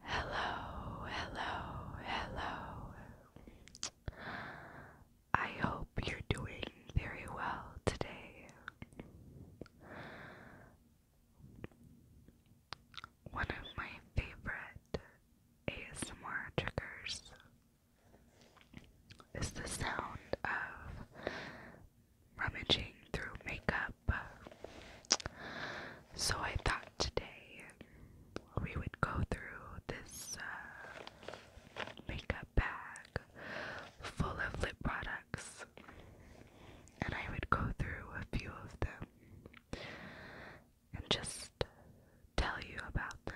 Hello, hello, hello. I hope you're doing very well today. One of my favorite ASMR triggers is the sound of rummaging through makeup. So I thought today we would go through this uh, makeup bag full of lip products and I would go through a few of them and just tell you about them.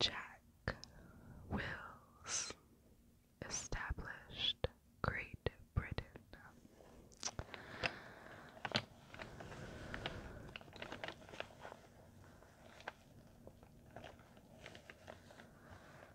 Jack Wills established Great Britain.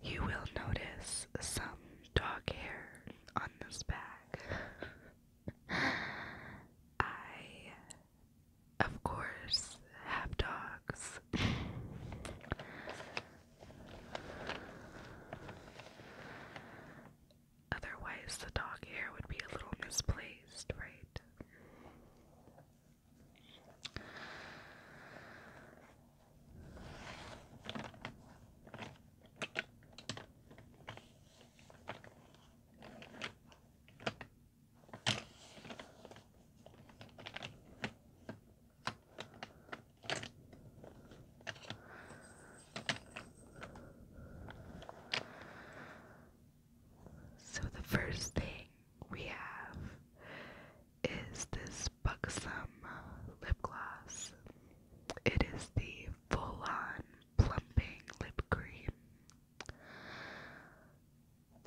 You will notice some dog hair on this bag. I of course, have dogs. Otherwise, the dog hair would be a little misplaced, right? So, the first thing we have is this buxom lip gloss. It is the full on plumping lip cream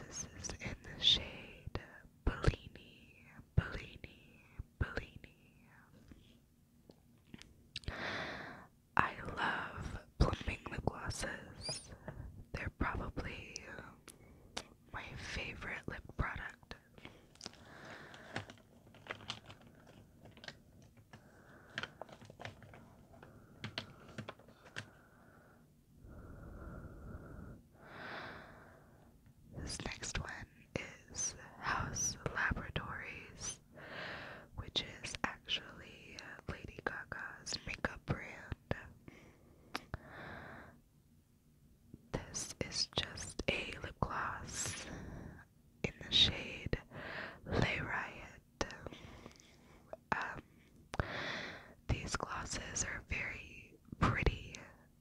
this is in the shade Bellini, Bellini, Bellini. I love plumping lip glosses. They're probably my favorite lip product. This next one is House Laboratories, which is actually uh, Lady Gaga's makeup brand. This is just a lip gloss in the shade Lay Riot. Um, these glasses are very pretty.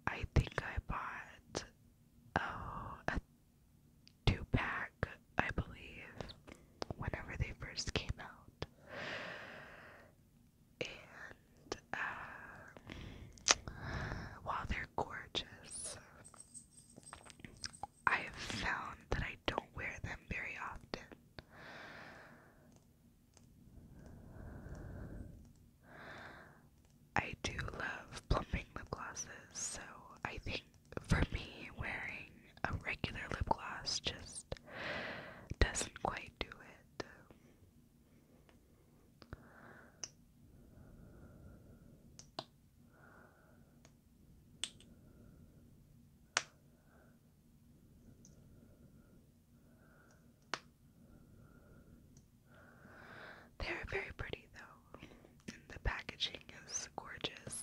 I think I bought oh a two pack, I believe, whenever they first came out. And um, while they're gorgeous, I have found that I don't wear them very often. I do love plumping lip glosses, so I think for me, wearing a regular lip gloss just doesn't quite do it. They're very pretty though, and the packaging is gorgeous.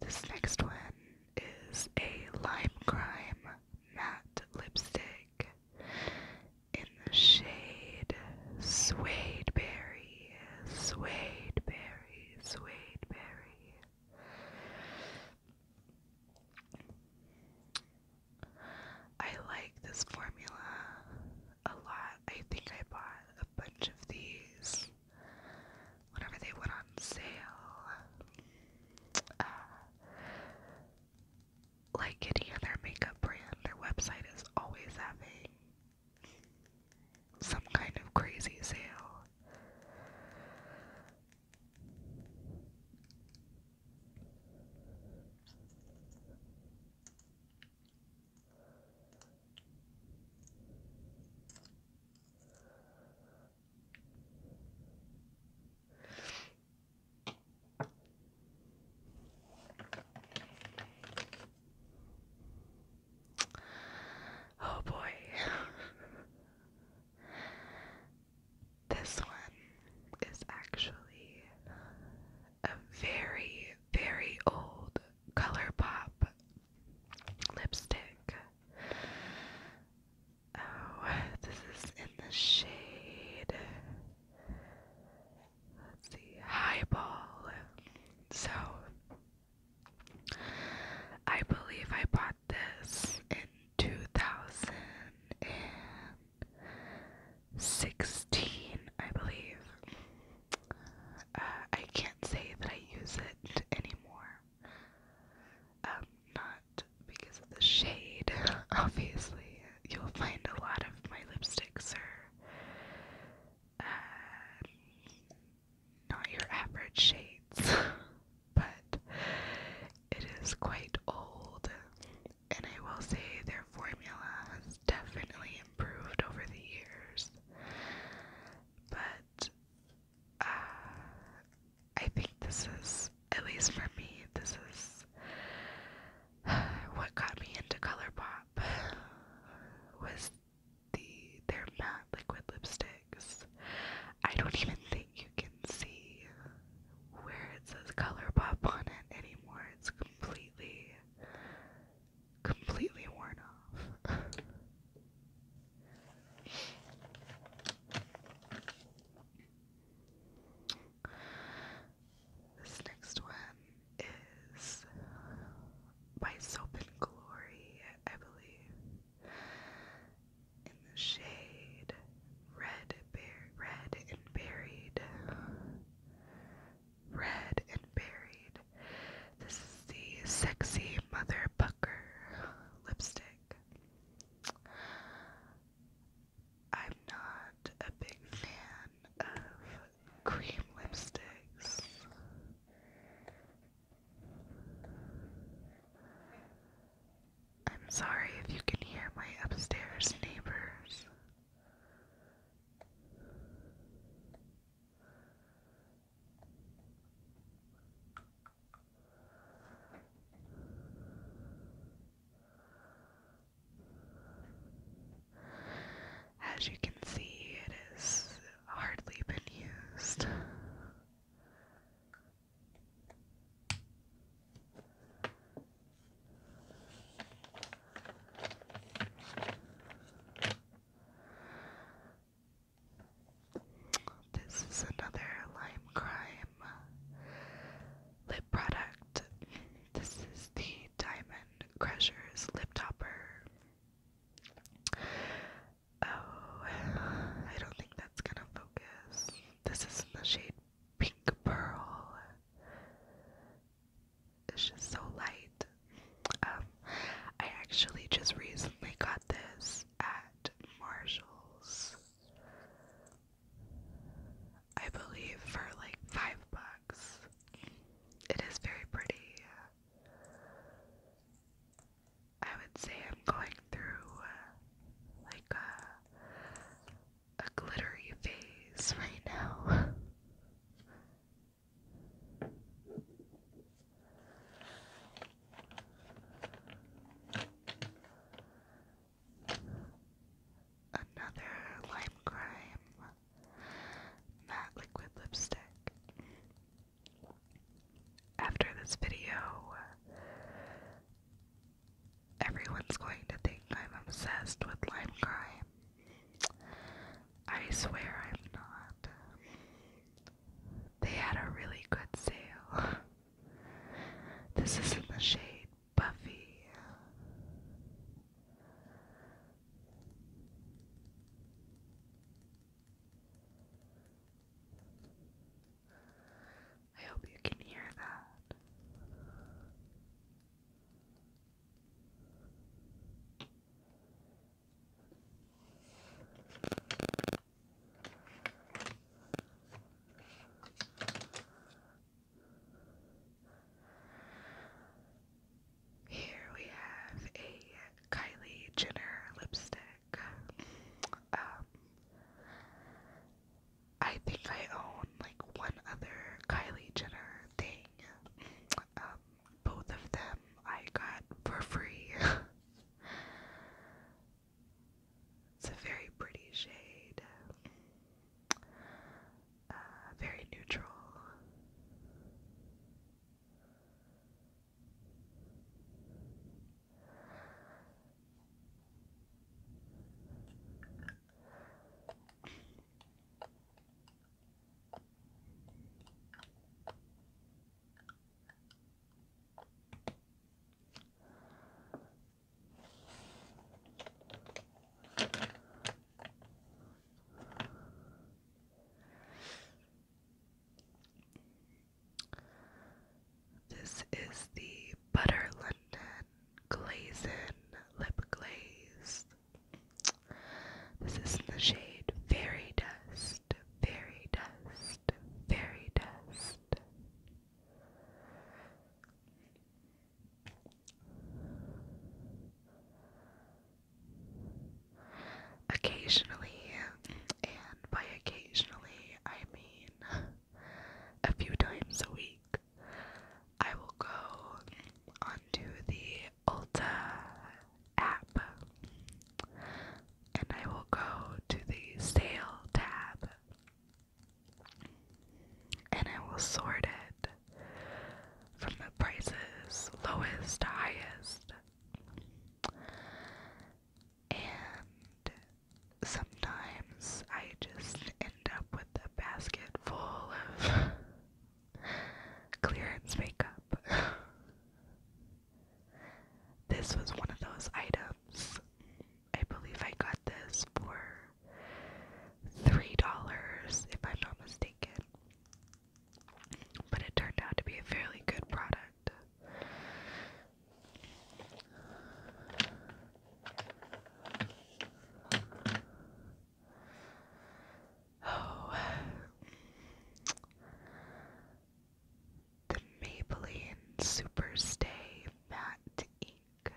This next one is a Lime Crime matte lipstick in the shade. Suede berry, suede berry, suede berry. I like this formula a lot. I think I bought a bunch of these whenever they went on sale. Uh, like any other makeup brand, their website is always having some kind of crazy sale. Oh boy. this one is actually a very, very old ColourPop lipstick. Oh, this is in the shade Let's see, highball. So, I believe I bought this in 2016, I believe. Uh, I can't say that I use it anymore. Um, not because of the shade, obviously you'll find a lot of my lipsticks are uh, not your average shades, but it is quite old, and I will say their formula has definitely improved over the years. But uh, I think this is at least for me, this is what got me into ColourPop was the their matte liquid lipsticks. I don't even think you can see where it says ColourPop on it anymore. It's completely completely worn off. This next one is by Soap and Glory, I believe. In the shade, red, bear, red and buried. Red and buried. This is the sexy motherbucker lipstick. I'm not a big fan of cream lipsticks. I'm sorry if you can hear my upstairs neighbors. As you can see, it has hardly been used. This is another lime crime lip product. This is the Diamond Crushers Lip Topper. Oh, I don't think that's gonna focus. This is in the shade Pink Pearl. It's just so light. Um, I actually just recently got this at Marshall's. I believe for like five bucks. It is very pretty. I would say I'm going through like a, a glittery phase right now. Another lime crime matte liquid lipstick. After this video, everyone's going to think I'm obsessed with lime crime. I swear I'm not. They had a really good sale. This is in the shade Buffy. I hope you can hear that. Here we have a Kylie Jenner lipstick. Um, I think I own like one other Kylie Jenner thing. Um, both of them I got for free. it's a very pretty shade. Uh, very neutral. This is the Butter London Glazin Lip Glaze. This is in the shade Fairy Dust, Fairy Dust, Fairy Dust. Occasionally, and by occasionally I mean a few times a week, I will go onto the Ulta app and I will go to the sale tab and I will sort it from the prices lowest to highest. And sometimes I just end up with a basket full of clearance makeup. this was one of those items. I believe I got this for $3, if I'm not mistaken. But it turned out to be a fairly good product. Oh. The Maybelline Superstay Matte Ink.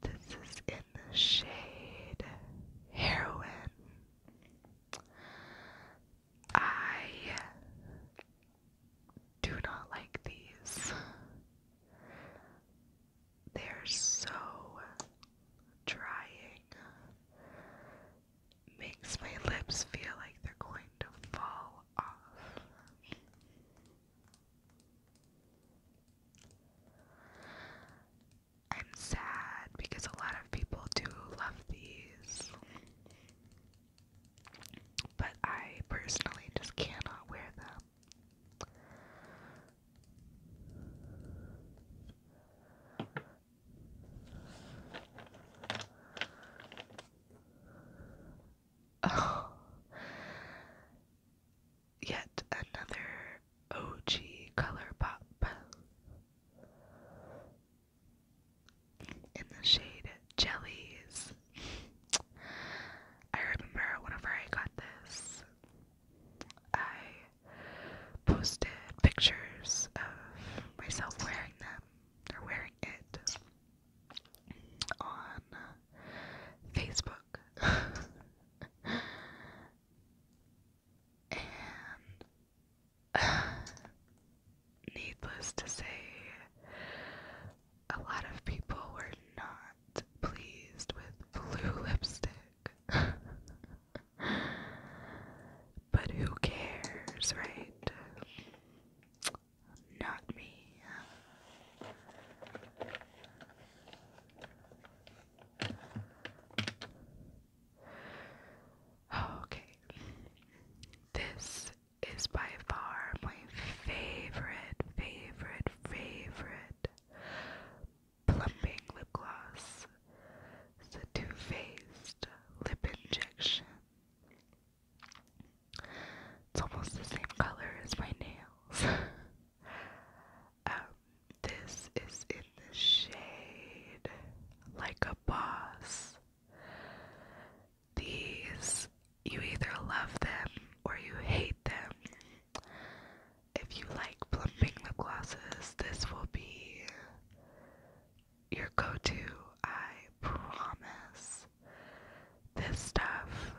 This is in the shade Heroin. I do not like these. They're so drying. Makes my lips feel like they're going to fall off. I'm sad because a lot of people do love these. But I personally just cannot wear them. Oh yet another OG color pop in the shade Jellies. I remember whenever I got this, I posted pictures of myself wearing them or wearing it on Facebook. and needless to say, a lot of people were not pleased with blue lipstick. but who cares, right? not me. Okay, this is by far my favorite, favorite, favorite plumping lip gloss. It's a faced lip injection. It's almost the same color as my nails. Um, this is in the shade Like a Boss. These, you either love them or you hate them. If you like plumping lip glosses, this will be your go to, I promise. This stuff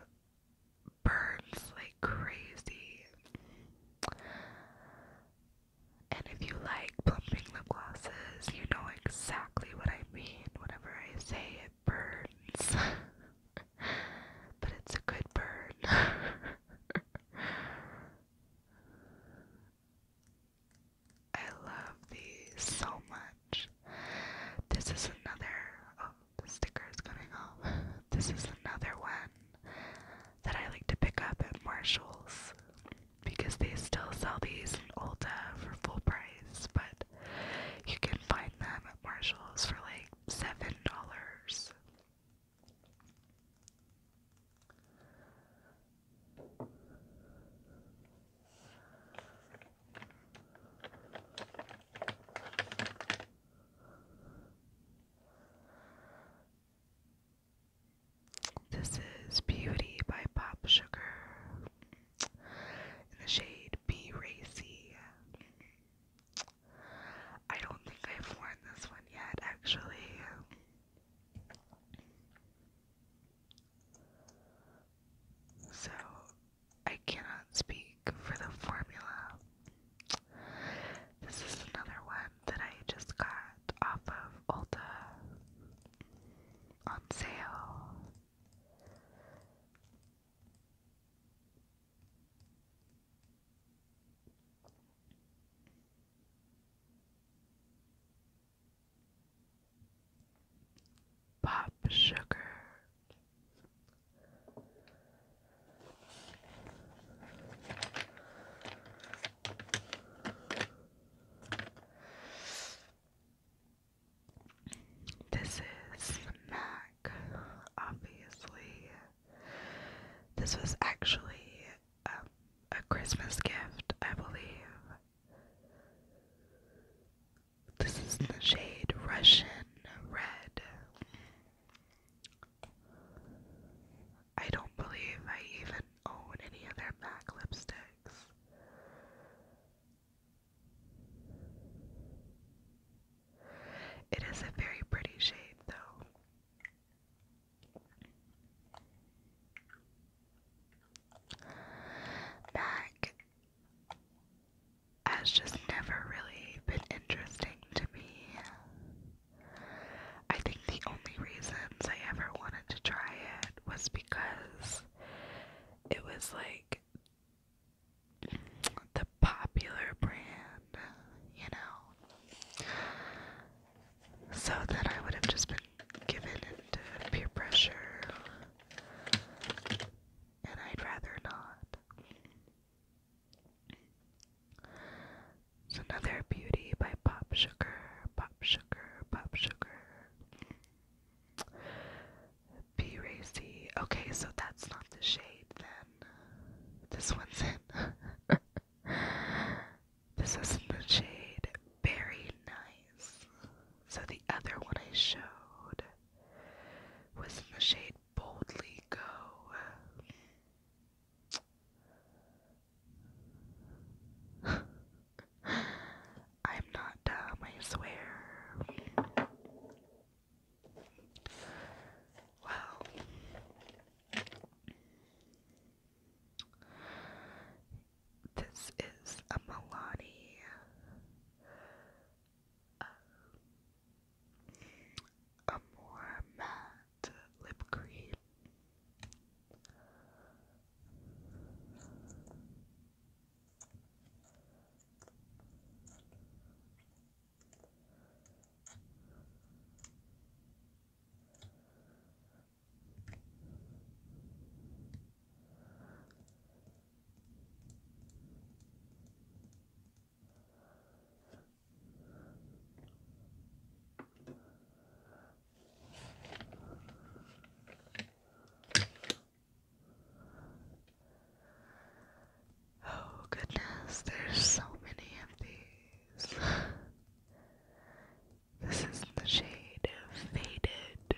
burns like crazy. And if you like plumping lip glosses, you know exactly what I mean. Whenever I say it burns, but it's a good burn. I love these so much. This is another. Oh, sticker is coming up. This is another one that I like to pick up at Marshalls because they still sell these in Ulta for full price, but you can find them at Marshalls for like seven dollars. This is Beauty by Pop Sugar in the shade Be Racy. I don't think I've worn this one yet, actually. So, I cannot speak for the formula. This is another one that I just got off of Ulta on sale pop sugar. This is MAC, obviously. This was actually um, a Christmas gift, I believe. This is the shade Russian Red. I don't believe I even own any of MAC lipsticks. It is a very pretty shade, though. MAC has just never really been interesting to me. I think the only reasons I ever wanted to try it was because it was like the popular brand, you know. So then I would have just been given into peer pressure, and I'd rather not. It's another beauty by Pop Sugar, Pop Sugar, Pop Sugar. Be Okay, so that's not the shade then. This one's in. this is the shade Very Nice. So the other one I showed was the shade Boldly Go. I'm not dumb, I swear. Well, this is a Milani uh, a more matte lip cream. Oh, goodness, there's so many of these. This is in the shade of Faded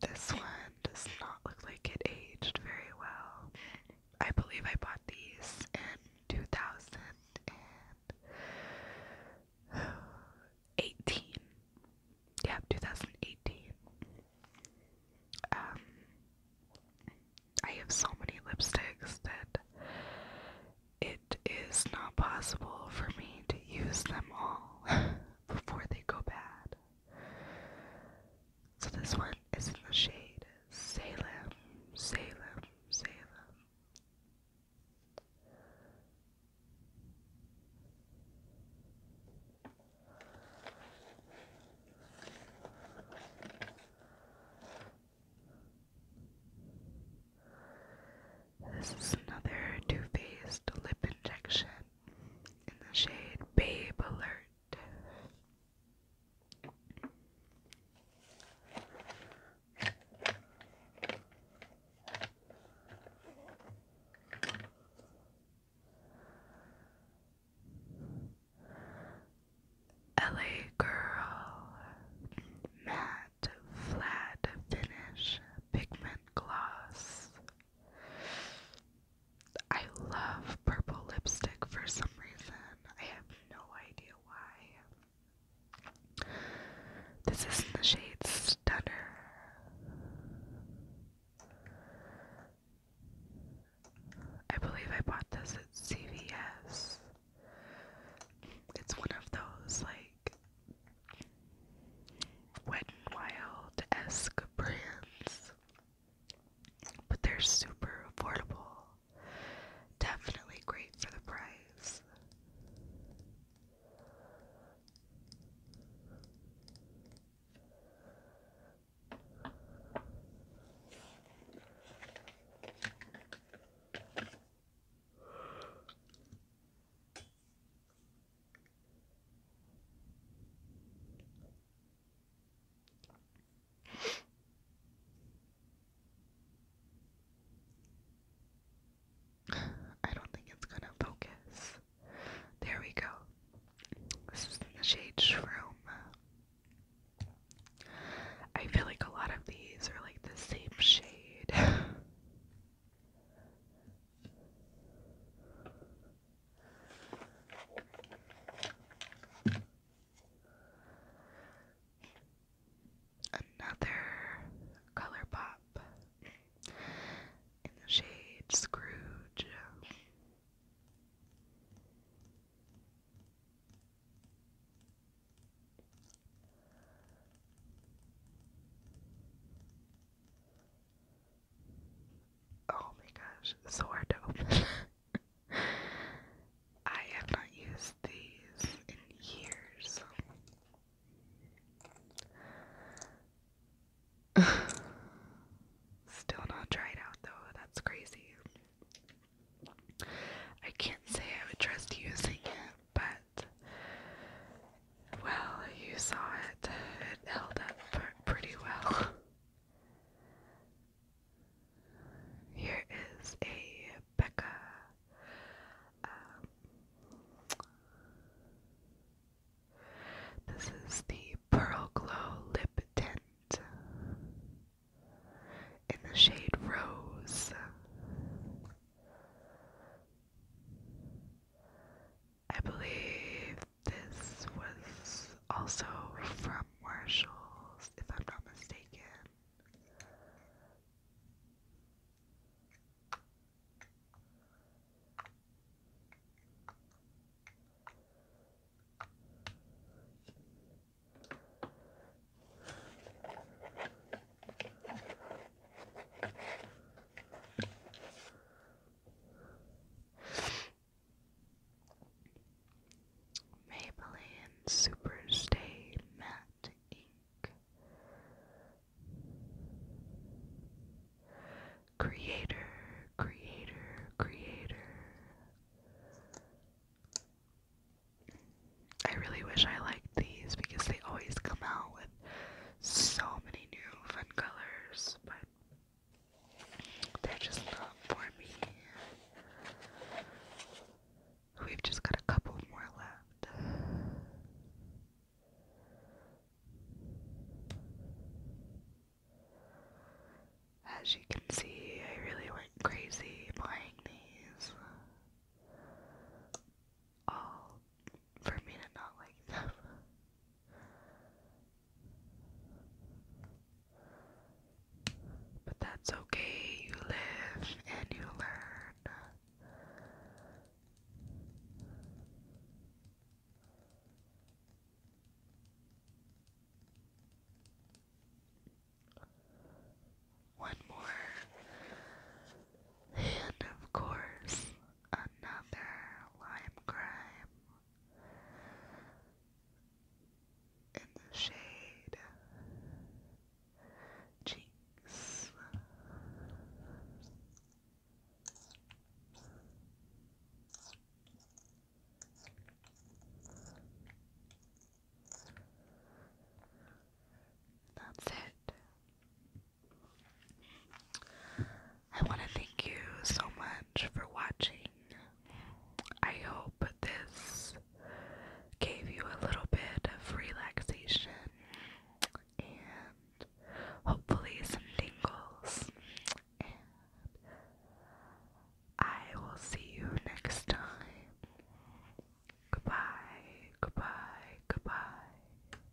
This one does not look like it aged very well. I believe I bought these in 2018. Yeah, 2018. Um, I have so many lipsticks that it is not possible for me to use them all before they go bad. So this one is in the shade Salem, Salem, Salem. This is another Too Faced lip injection in the shade Babe Alert. LA Girl Matte Flat Finish Pigment Gloss I love purple lipstick for some reason. I have no idea why. This is in the shade Stunner. I believe I bought this at CVS. It's one of those like Wet n Wild esque brands, but they're super affordable. Definitely great for the price. I don't think it's gonna focus. There we go. This is I feel like a lot of these are like the same shade. Another color in the shade Scrooge. Oh my gosh, it's so hard to open. I have not used these in years. Still not tried out though, that's crazy. I can't say I would trust using it, but well, you saw it. It held up pretty well. Here is a Becca. Um, this is the Pearl Glow Lip Tint in the shade Rose. I believe this was also from Marshall's, if I'm not mistaken. Maybelline Superstay Matte Ink Creator, Creator, Creator. I really wish I liked these because they always come out with so many new fun colors, but they're just not for me. We've just got a couple more left. As you can see, I really went crazy buying these. All for me to not like them. But that's okay, you live and you learn. One more, and of course, another lime crime in the shade Jinx. That's it. I want to thank you so much for watching. I hope this gave you a little bit of relaxation and hopefully some tingles. And I will see you next time. Goodbye, goodbye, goodbye.